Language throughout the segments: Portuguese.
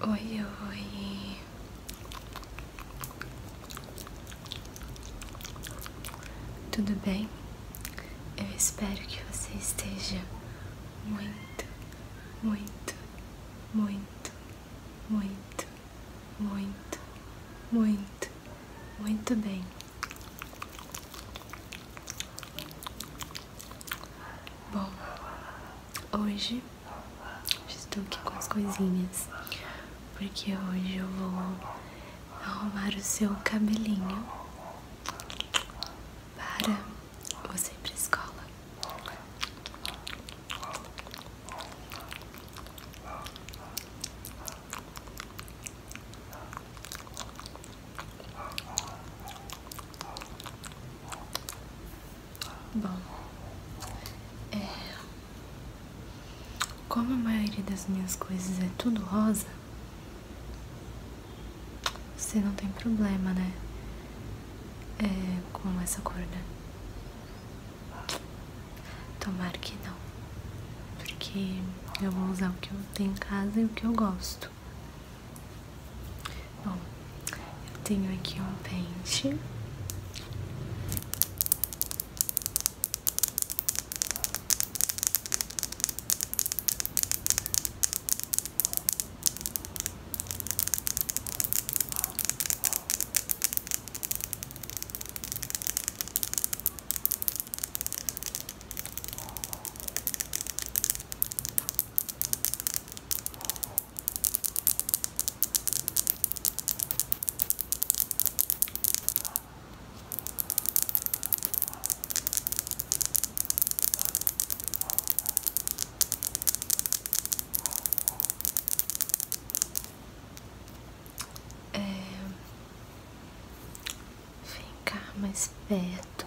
Oi, oi. Tudo bem? Eu espero que você esteja muito, muito, muito, muito, muito, muito, muito bem. Bom, Hoje estou aqui com as coisinhas, porque hoje eu vou arrumar o seu cabelinho para você ir pra escola. Bom, é, como a maioria das minhas coisas é tudo rosa, você não tem problema, né? É, com essa cor, né? Tomara que não, porque eu vou usar o que eu tenho em casa e o que eu gosto. Bom, eu tenho aqui um pente. É... Vem cá mais perto.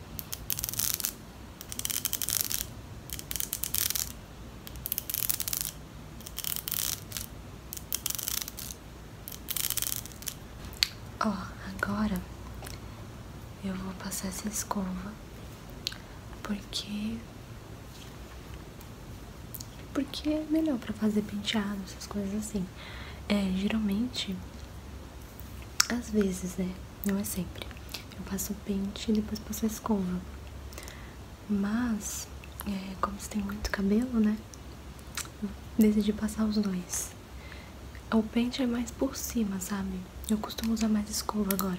Ó, agora eu vou passar essa escova porque porque é melhor para fazer penteado, essas coisas assim. É, geralmente às vezes, né? Não é sempre. Eu passo o pente e depois passo a escova. Mas, é, como você tem muito cabelo, né? decidi passar os dois. O pente é mais por cima, sabe? Eu costumo usar mais escova agora.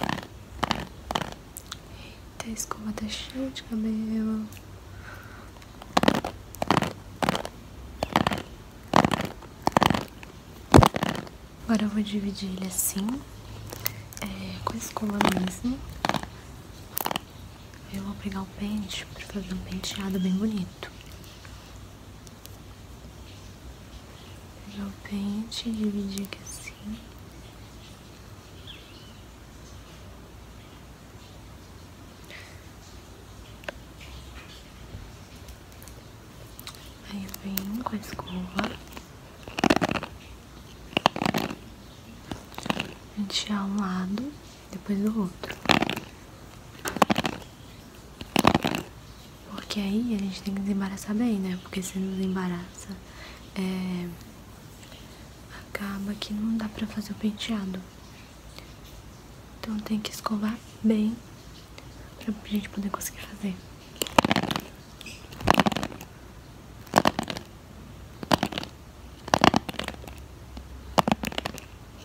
Eita, a escova tá cheia de cabelo. Agora eu vou dividir ele assim, é, com a escova mesmo. Eu vou pegar o pente para fazer um penteado bem bonito pegar o pente, dividir aqui assim. Aí vem com a escova. A gente tirar um lado, depois do outro. Porque aí a gente tem que desembaraçar bem, né? Porque se não desembaraça, é, acaba que não dá pra fazer o penteado. Então tem que escovar bem pra gente poder conseguir fazer.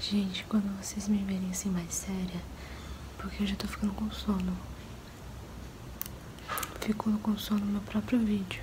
Gente, quando vocês me verem assim mais séria, porque eu já tô ficando com sono. Fico com sono no meu próprio vídeo.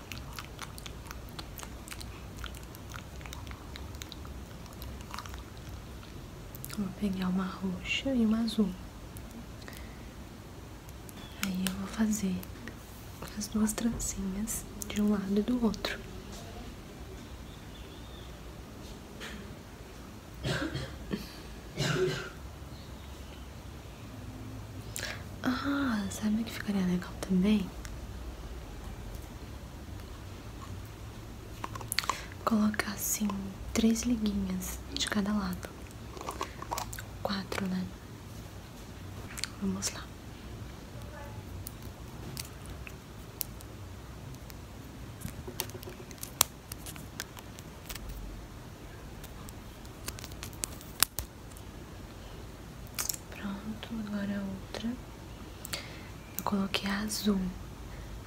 Vou pegar uma roxa e uma azul. Aí eu vou fazer as duas trancinhas de um lado e do outro. Ah, sabe o que ficaria legal também? Colocar assim três liguinhas de cada lado. Quatro, né? Vamos lá. Pronto, agora outra. Eu coloquei azul.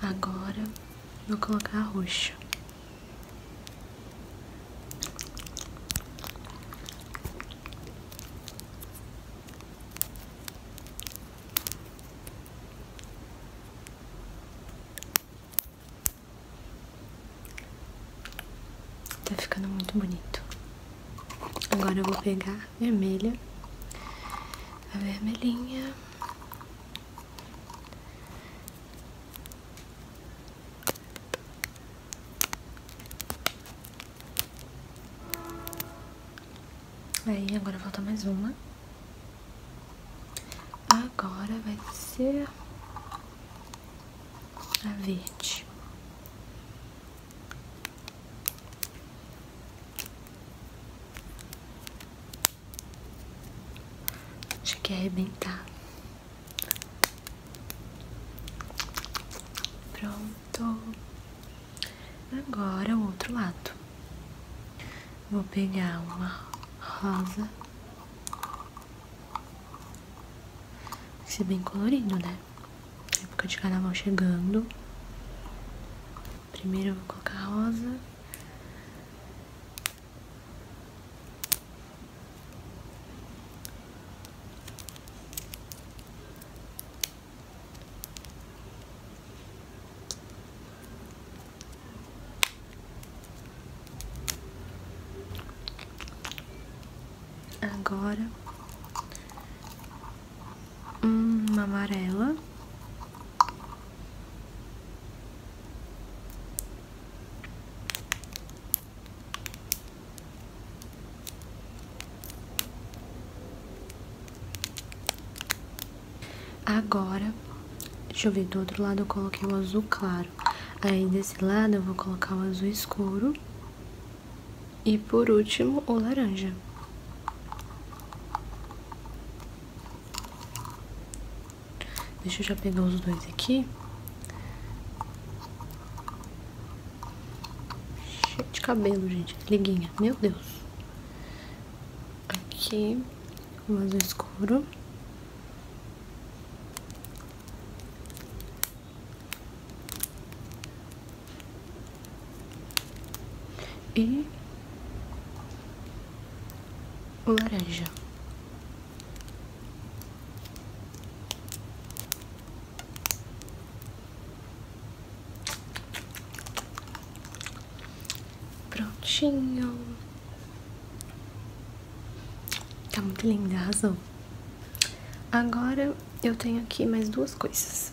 Agora vou colocar roxo. Tá ficando muito bonito. Agora eu vou pegar vermelha, a vermelhinha. Aí, agora falta mais uma. Agora vai ser a verde. Cheguei a é arrebentar. Pronto. Agora o outro lado. Vou pegar uma rosa Vai ser é bem colorido, né? A época de carnaval chegando. Primeiro vou colocar rosa. Agora uma amarela. Agora, deixa eu ver do outro lado, eu coloquei o azul claro. Aí desse lado eu vou colocar o azul escuro e por último o laranja. Deixa eu já pegar os dois aqui. Cheio de cabelo, gente. Liguinha. Meu Deus. Aqui o azul escuro. E laranja. Prontinho. Tá muito linda, arrasou. Agora eu tenho aqui mais duas coisas.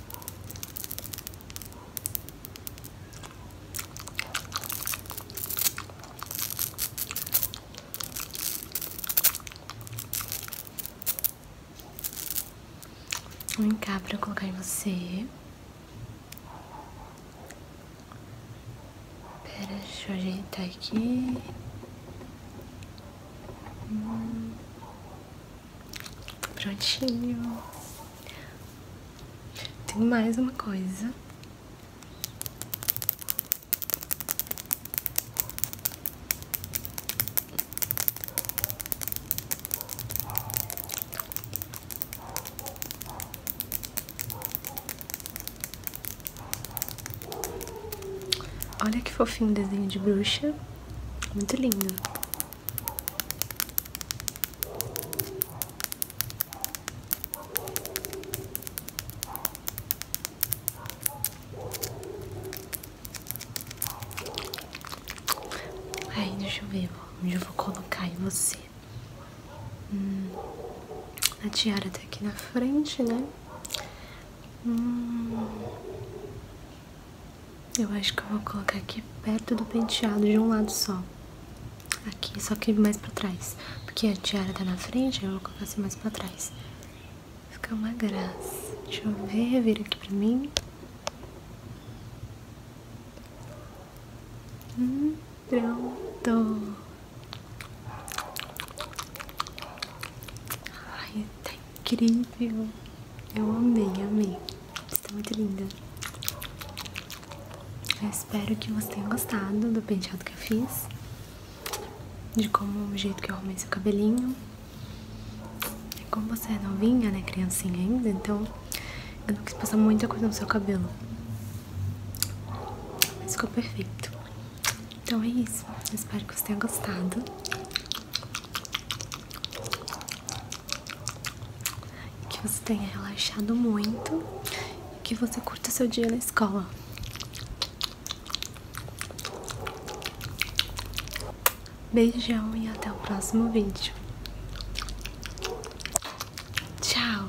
Vem cá para eu colocar em você. Pera, deixa eu ajeitar aqui. Prontinho. Tem mais uma coisa. Olha que fofinho desenho de bruxa. Muito linda Aí, deixa eu ver onde eu vou colocar em você. Hum, a tiara tá aqui na frente, né? Hum. Eu acho que eu vou colocar aqui perto do penteado de um lado só. Aqui, só que mais pra trás. Porque a tiara tá na frente, eu vou colocar assim mais pra trás. Fica uma graça. Deixa eu ver, vira aqui pra mim. Hum, pronto. Ai, tem Incrível! Eu amei, amei. Está muito linda. Eu espero que você tenha gostado do penteado que eu fiz. De como o jeito que eu arrumei seu cabelinho. E como você é novinha, né, criancinha ainda, então eu não quis passar muita coisa no seu cabelo. Mas ficou perfeito. Então é isso. Eu espero que você tenha gostado. Que você tenha relaxado muito e que você curta seu dia na escola. Beijão e até o próximo vídeo. Tchau!